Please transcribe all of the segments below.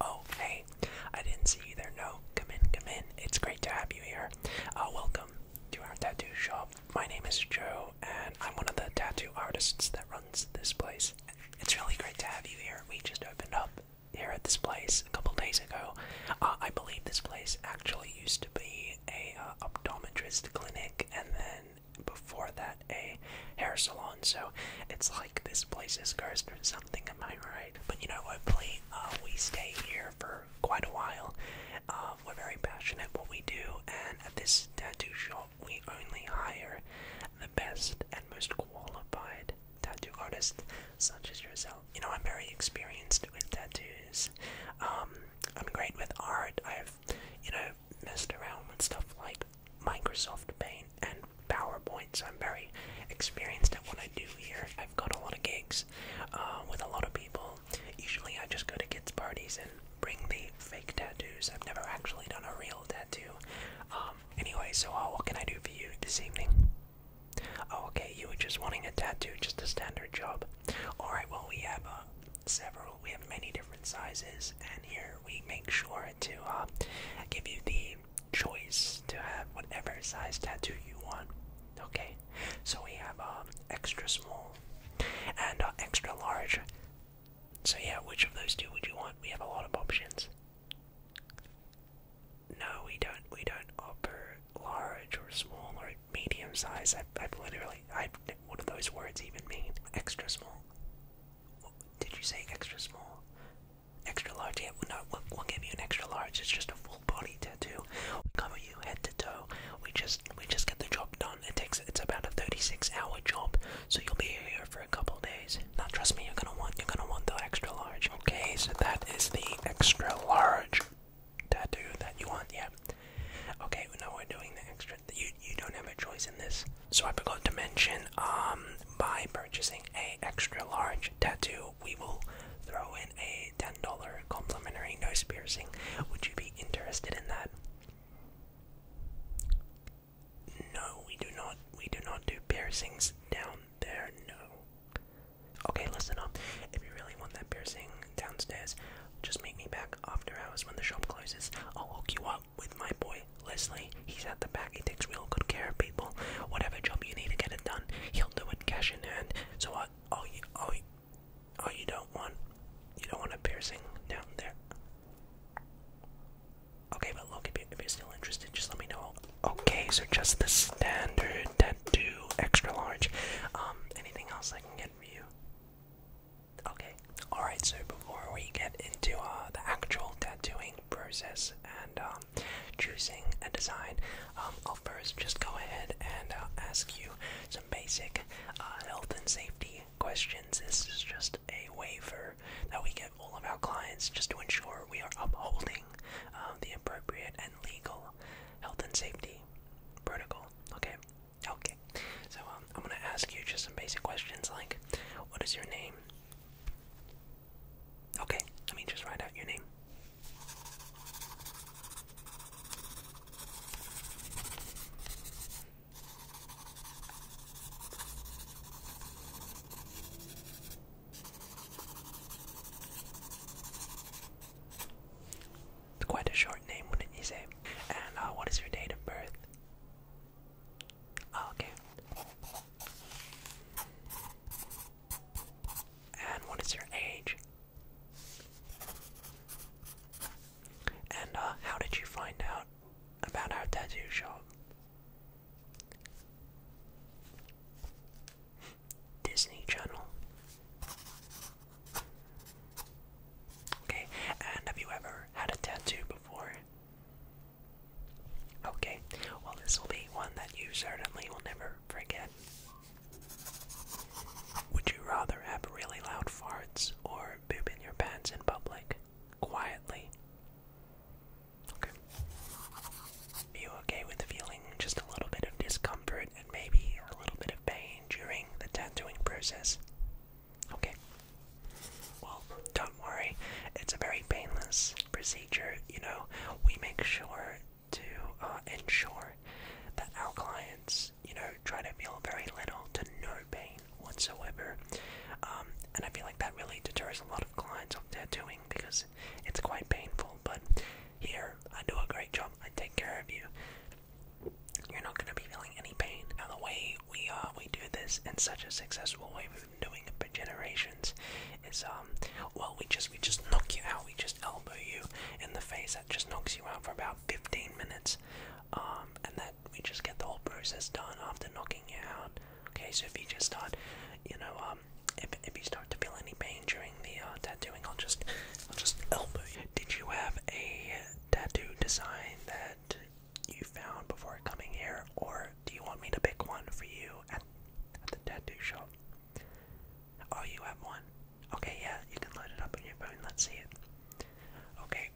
Oh, hey, I didn't see you there. No, come in, come in. It's great to have you here. Uh, welcome to our tattoo shop. My name is Joe, and I'm one of the tattoo artists that runs this place. It's really great to have you here. We just opened up here at this place a couple days ago. Uh, I believe this place actually used to be a a uh, optometrist clinic, and then before that a hair salon. So it's like this place is cursed or something. Am I right? But you know, hopefully uh, we stay here for quite a while. Um, we're very passionate what we do, and at this tattoo shop, we only hire the best and most qualified tattoo artists, such as yourself. You know, I'm very experienced with tattoos. Um, I'm great with art. I've, you know, messed around with stuff like Microsoft Paint and PowerPoint, so I'm very experienced at what I do here. I've got a lot of gigs uh, with a lot of people. Usually I just go to kids' parties and bring the fake tattoos. I've never actually done a real tattoo. Um, anyway, so uh, what can I do for you this evening? Oh, okay, you were just wanting a tattoo, just a standard job. All right, well, we have uh, several, we have many different sizes, and here we make sure to uh, give you the choice to have whatever size tattoo you want. Okay, so we have um, extra small and uh, extra large. So yeah, which of those two would you want? We have a lot of options. No, we don't. We don't offer large or small or medium size. i i literally, I've, what do those words even mean? Extra small. What, did you say extra small? Extra large? Yeah, no, we'll give you an extra large. It's just a full body tattoo. We cover you head to toe. We just, we just get the job done. It takes, it's about a 36 hour job, so you'll be here for a couple days. Now, trust me, you're gonna want, you're gonna want the extra large. Okay, so that is the extra large tattoo that you want, yeah. Okay, now we're doing the extra. You you don't have a choice in this. So I forgot to mention, um, by purchasing a extra large tattoo, we will throw in a ten dollar complimentary nose piercing. Would you be interested in that? No, we do not. We do not do piercings down there. No. Okay, listen up. If you really want that piercing downstairs, just meet me back after hours when the shop closes. I'll hook you up with my boy Leslie. He's at the back. He takes real good care of people. Whatever job you need to get it done, he'll do it cash in hand. So what? Oh, you, oh, you, oh, you don't want, you don't want a piercing down there. Okay, but look, if, you, if you're still interested, just let me know. Okay, so just the standard had extra large. Um, anything else I can get for you? Okay. Alright, so before we get into uh, the actual tattooing process and um, choosing a design, um, I'll first just go ahead and uh, ask you some basic uh, health and safety questions. This is just a waiver that we give all of our clients just to ensure we are upholding the appropriate and legal health and safety Protocol. Okay. Okay. So um, I'm gonna ask you just some basic questions like, what is your name? Okay. Let me just write out your name. It's quite a short name, wouldn't you say? And uh, what is your date of birth? Ah, okay. And what is your age? And uh, how did you find out about our tattoo shop? Disney Channel. Okay, and have you ever had a tattoo before? Okay, well, this will be one that you certainly will never forget. Would you rather have really loud farts or poop in your pants in public, quietly? Okay. Be okay with feeling just a little bit of discomfort and maybe a little bit of pain during the tattooing process. Okay. Well, don't worry. It's a very painless procedure. You know, we make sure to uh, ensure that our clients, you know, try to feel very little to no pain whatsoever. Um, and I feel like that really deters a lot of clients from tattooing because it's quite painful. But here, I do a great job. I take care of you. You're not going to be feeling any pain. Now, the way we are, uh, we do this in such a successful way we've been doing it for generations is um well we just we just knock you out. We just elbow you in the face. That just knocks you out for about 15 minutes, um, and then we just get the whole process done after knocking you out. Okay, so if you just start you know, um, if, if you start to feel any pain during the uh, tattooing, I'll just, I'll just elbow you. Did you have a tattoo design that you found before coming here, or do you want me to pick one for you at, the tattoo shop? Oh, you have one? Okay, yeah, you can load it up on your phone. Let's see it. Okay.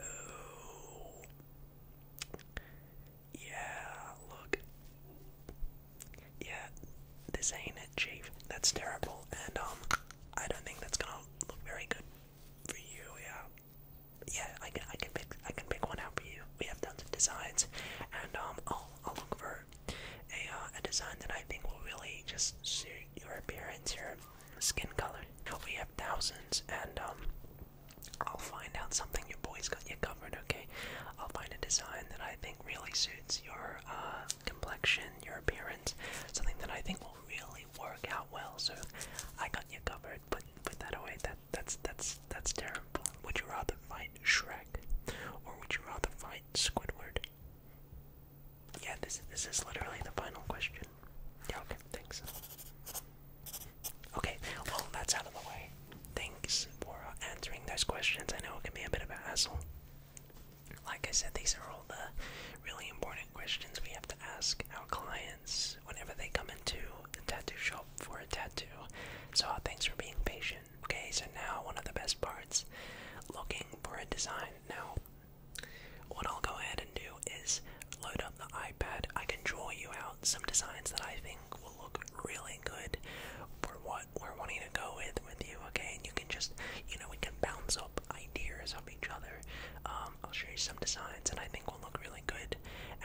Oh. Yeah, look. Yeah, this ain't it, Chief. That's terrible, and um, I don't think that's gonna look very good for you. Yeah, yeah, I can, I can pick, I can pick one out for you. We have tons of designs, and um, I'll, I'll look for a, uh, a design that I think will really just suit your appearance, your skin color. We have thousands, and um, I'll find out something. Your boy's got you covered, okay? I'll find a design that I think really suits your uh, complexion, your appearance, something that I think will really work out well. So I got you covered. Put put that away. That that's that's that's terrible. Would you rather fight Shrek, or would you rather fight Squidward? Yeah, this this is literally the final question. Yeah, okay, thanks. Okay, well that's out of the way thanks for answering those questions. I know it can be a bit of a hassle. Like I said, these are all the really important questions we have to ask our clients whenever they come into the tattoo shop for a tattoo. So, uh, thanks for being patient. Okay, so now one of the best parts looking for a design. Now, what I'll go ahead and do is load up the iPad. I can draw you out some designs that I think will look really good for what we're wanting to go with with you, okay? And you can just, you know, we can bounce up ideas of each other. Um, I'll show you some designs and I think will look really good.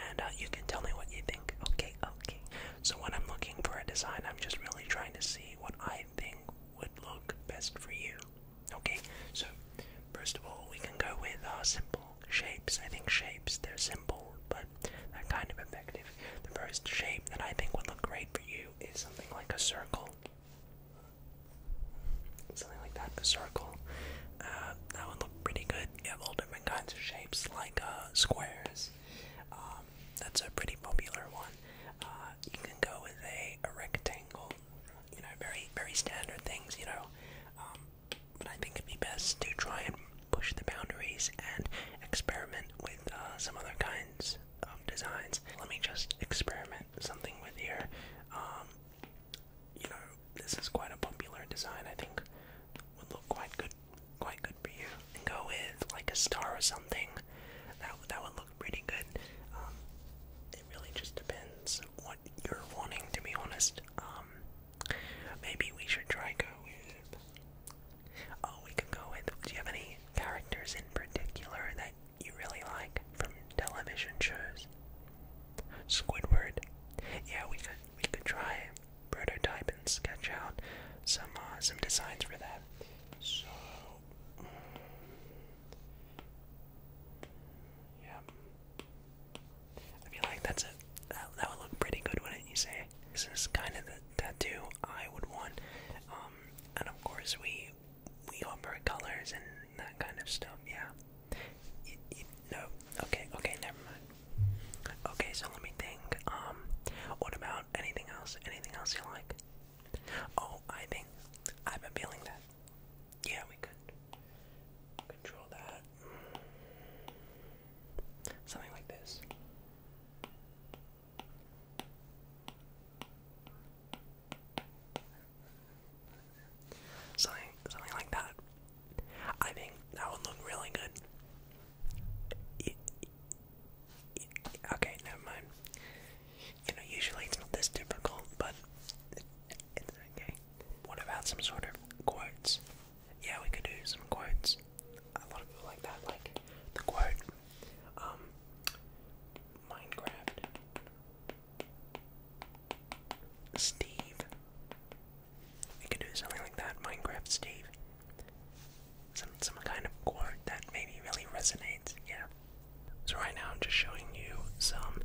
And uh, you can tell me what you think, okay? Okay. So when I'm looking for a design, I'm just really trying to see what I think would look best for you. Okay, so first of all, we can go with uh, simple shapes. I think shapes, they're simple, but that kind of effective. The first shape that I think would look great for you is something like a circle. Something like that, a circle. Uh, that would look pretty good. You have all different kinds of shapes, like uh, squares. Um, that's a pretty popular one. Uh, you can go with a, rectangle. You know, very very standard things. You know, um, but I think it'd be best to try and push the boundaries and experiment with uh, some other kinds of designs. Let me just experiment something with here. Um, you know, this is quite a popular design. I think would look quite good, quite good for you. go with like a star or something. That that would look pretty good. Um, it really just depends what you're wanting, to be honest. Um, Maybe we should try going. Oh, we can go with. Do you have any characters in particular that you really like from television shows? Squidward. Yeah, we could we could try prototype and sketch out some uh, some designs for that. So. Um, I feel like that's it. That, would look pretty good, wouldn't you say? This is kind of the tattoo I would want. Um, and of course we we offer colors and that kind of stuff. Yeah. no. Okay. Okay. Never mind. Okay. So let me think. Um, what about anything else? Anything else you like? Oh, I think I've been feeling that. Yeah, we could. Something like this. Something, something like that. I think that would look really good. okay, never mind. You know, usually it's not this difficult, but it's okay. What about some sort of quartz? yeah, we could do some quotes. A lot of people like that, like the quote, um, Minecraft, Steve. We could do something like that, Minecraft Steve. Some some kind of quote that maybe really resonates, yeah. So right now I'm just showing you some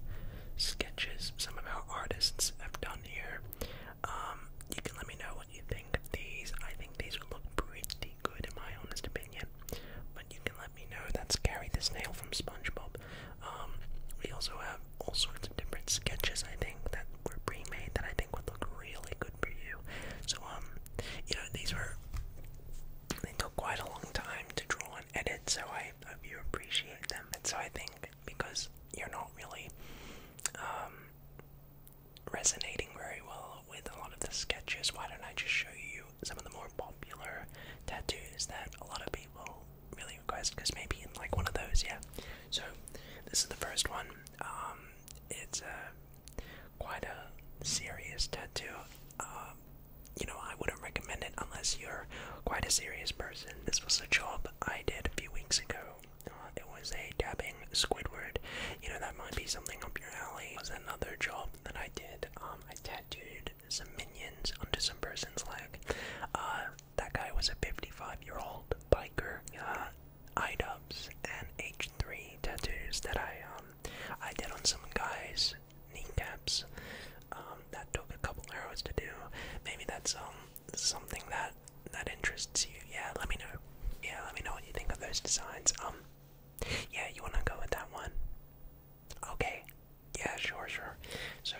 sketches some of our artists have done here. Um, you can let me know what you think of these. I think these would look pretty good in my honest opinion. But you can let me know. That's Gary the Snail from SpongeBob. Um, we also have all sorts of different sketches, I think, that were pre-made that I think would look really good for you. So, um, you know, these were, they took quite a long time to draw and edit, so I hope you appreciate them. And so I think because you're not really um, resonating very well with a lot of the sketches. Why don't I just show you some of the more popular tattoos that a lot of people really request? Because maybe in like one of those, yeah. So this is the first one. Um, it's a quite a serious tattoo. Uh, you know, I wouldn't recommend it unless you're quite a serious person. This was a job I did a few weeks ago. Uh, it was a dabbing Squidward. You know, that might be something up your alley. It was another job that I did. Um, I tattooed some minions onto some person's leg. Uh, that guy was a 55 year old biker. I uh, IDubs and H3 tattoos that I, um, I did on some guys' kneecaps. Um, that took a couple hours to do. Maybe that's, um, something that that interests you, yeah, let me know. Yeah, let me know what you think of those designs. Um, yeah, you wanna go with that one? Okay. Yeah, sure, sure. So,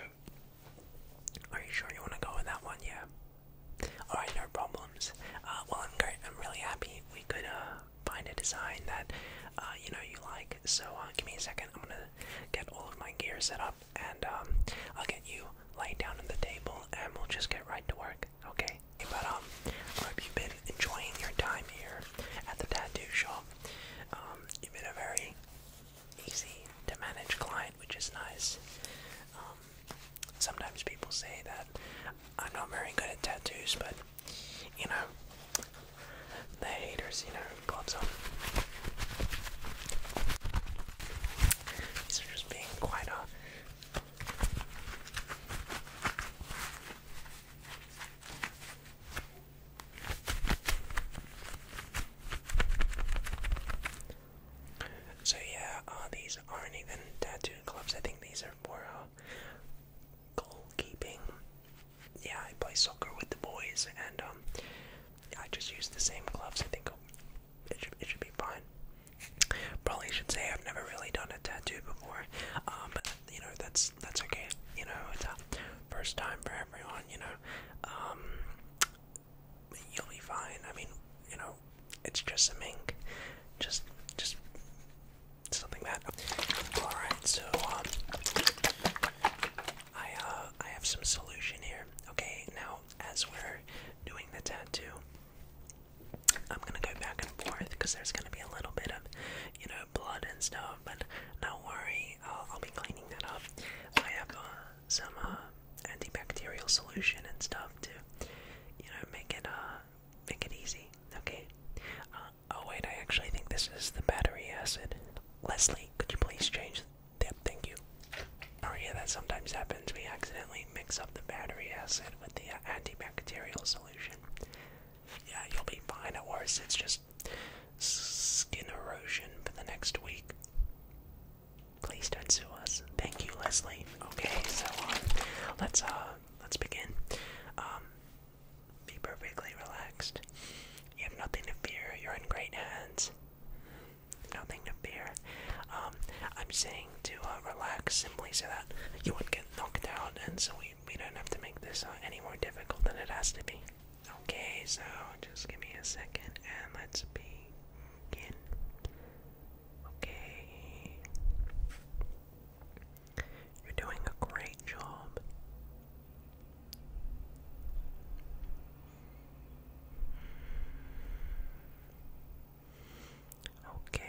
are you sure you wanna go with that one? Yeah. All right, no problems. Uh, well, I'm great. I'm really happy we could uh find a design that uh you know you like. So uh, give me a second. I'm gonna get all of my gear set up and um, I'll get you laid down on the table and we'll just get right to work, okay? But um, I hope you've been enjoying your time here at the tattoo shop. Um, you've been a very easy to manage client, which is nice. Um, sometimes people say that I'm not very good at tattoos, but you know, the haters, you know, Clubs. on. These are just being quite a so yeah, uh, these aren't even tattoo gloves. I think these are for uh, goalkeeping. Yeah, I play soccer with the boys, and um, I just use the same gloves. I think it should, it should be fine. Probably should say I've never really done a tattoo before, um, but you know that's that's okay. You know it's a first time for everyone. You know, um, you'll be fine. I mean, you know, it's just a mink, just just something that. All right, so um, I uh I have some solution here. Okay, now as we're doing the tattoo, I'm gonna go back and forth because there's gonna be a little bit of, you know, blood and stuff. But don't worry, I'll, be cleaning that up. I have uh, some uh, antibacterial solution and stuff to, you know, make it uh make it easy. Okay. Uh, oh wait, I actually think this is the battery acid. Leslie, could you please change Damn, thank you. Oh yeah, that sometimes happens. We accidentally mix up the battery acid with the uh, antibacterial solution. Yeah, you'll be fine. At worst, it's just skin erosion for the next week. Please don't sue us. Thank you, Leslie. Okay, so uh, let's uh, let's begin. Um, be perfectly relaxed. You have nothing to fear. You're in great hands. Nothing to fear. Um, I'm saying to uh, relax simply so that you won't get knocked out, and so we we don't have to make this uh, any more difficult than it has to be. Okay, so just give me a second, and let's begin. Okay. You're doing a great job. Okay,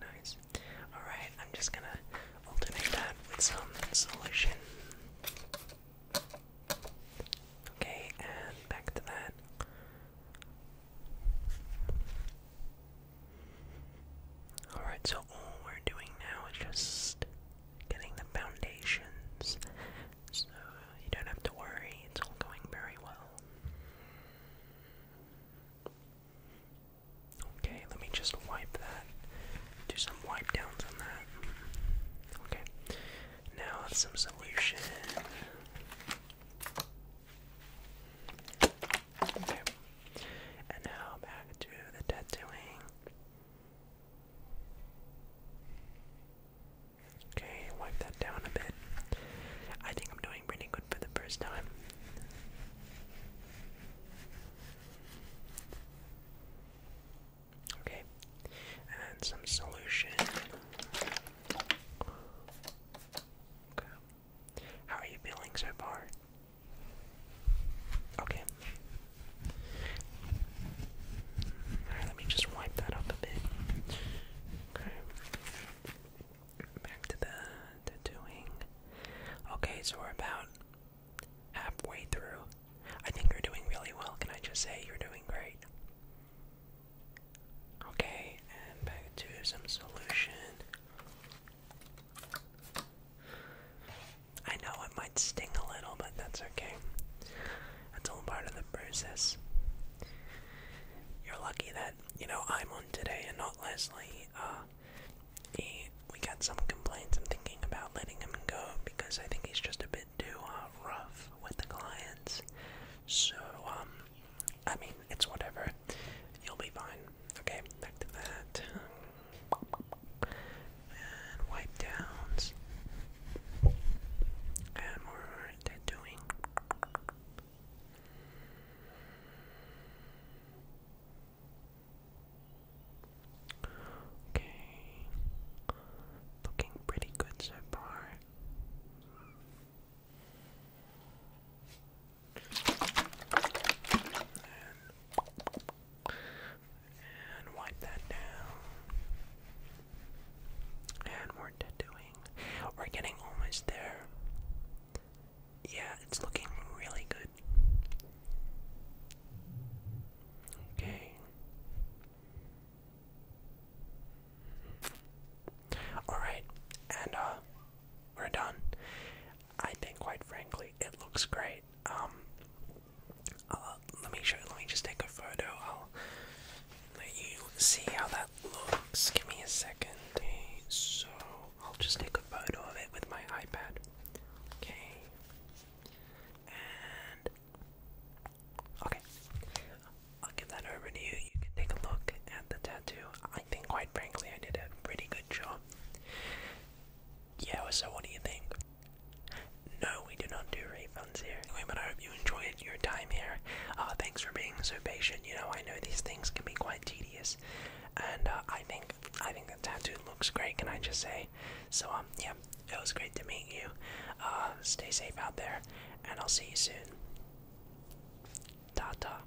nice. Alright, I'm just gonna alternate that with some solution. Okay, and back to that. Alright, so all we're doing now is just getting the foundations, so you don't have to worry, it's all going very well. Okay, let me just wipe that, do some wipe downs on that. Okay, now some solution. Okay. And now back to the tattooing. Okay, wipe that down a bit. I think I'm doing pretty good for the first time. Okay, and some solution. Okay. How are you feeling so far? Okay. Alright, let me just wipe that up a bit. Okay. Back to the tattooing. Okay, so we're about halfway through. I think you're doing really well. Can I just say you're doing great? Okay, and back to some solution. I know it might sting a little, but that's okay. That's all part of the process. You're lucky that, you know, I'm on today and not Leslie. Uh, he, we got some complaints. I'm thinking about letting him go because I think he's just a bit too uh, rough with the clients. So, um, I mean, it's whatever. You'll be fine. Okay, back to that and wipe downs, and we're doing. Okay, looking pretty good so far. And, wipe that down. And we're tattooing. We're getting almost there. Yeah, it's looking really good. Okay. Alright, and uh, we're done. I think, quite frankly, it looks great. Um, uh, let me show. Let me just take a photo. I'll let you see how that looks. Give me a second. Eh? so I'll just take a photo of it with my iPad. Okay, and okay, I'll give that over to you. You can take a look at the tattoo. I think, quite frankly, I did a pretty good job. Yeah, so what do you think? No, we do not do refunds here. but I hope you enjoyed your time here. Uh, thanks for being so patient. You know, I know these things can be quite tedious, and uh, I think I think the tattoo looks great. Can I just say? So um, yeah, it was great to meet you. Uh, stay safe out there, and I'll see you soon. Ta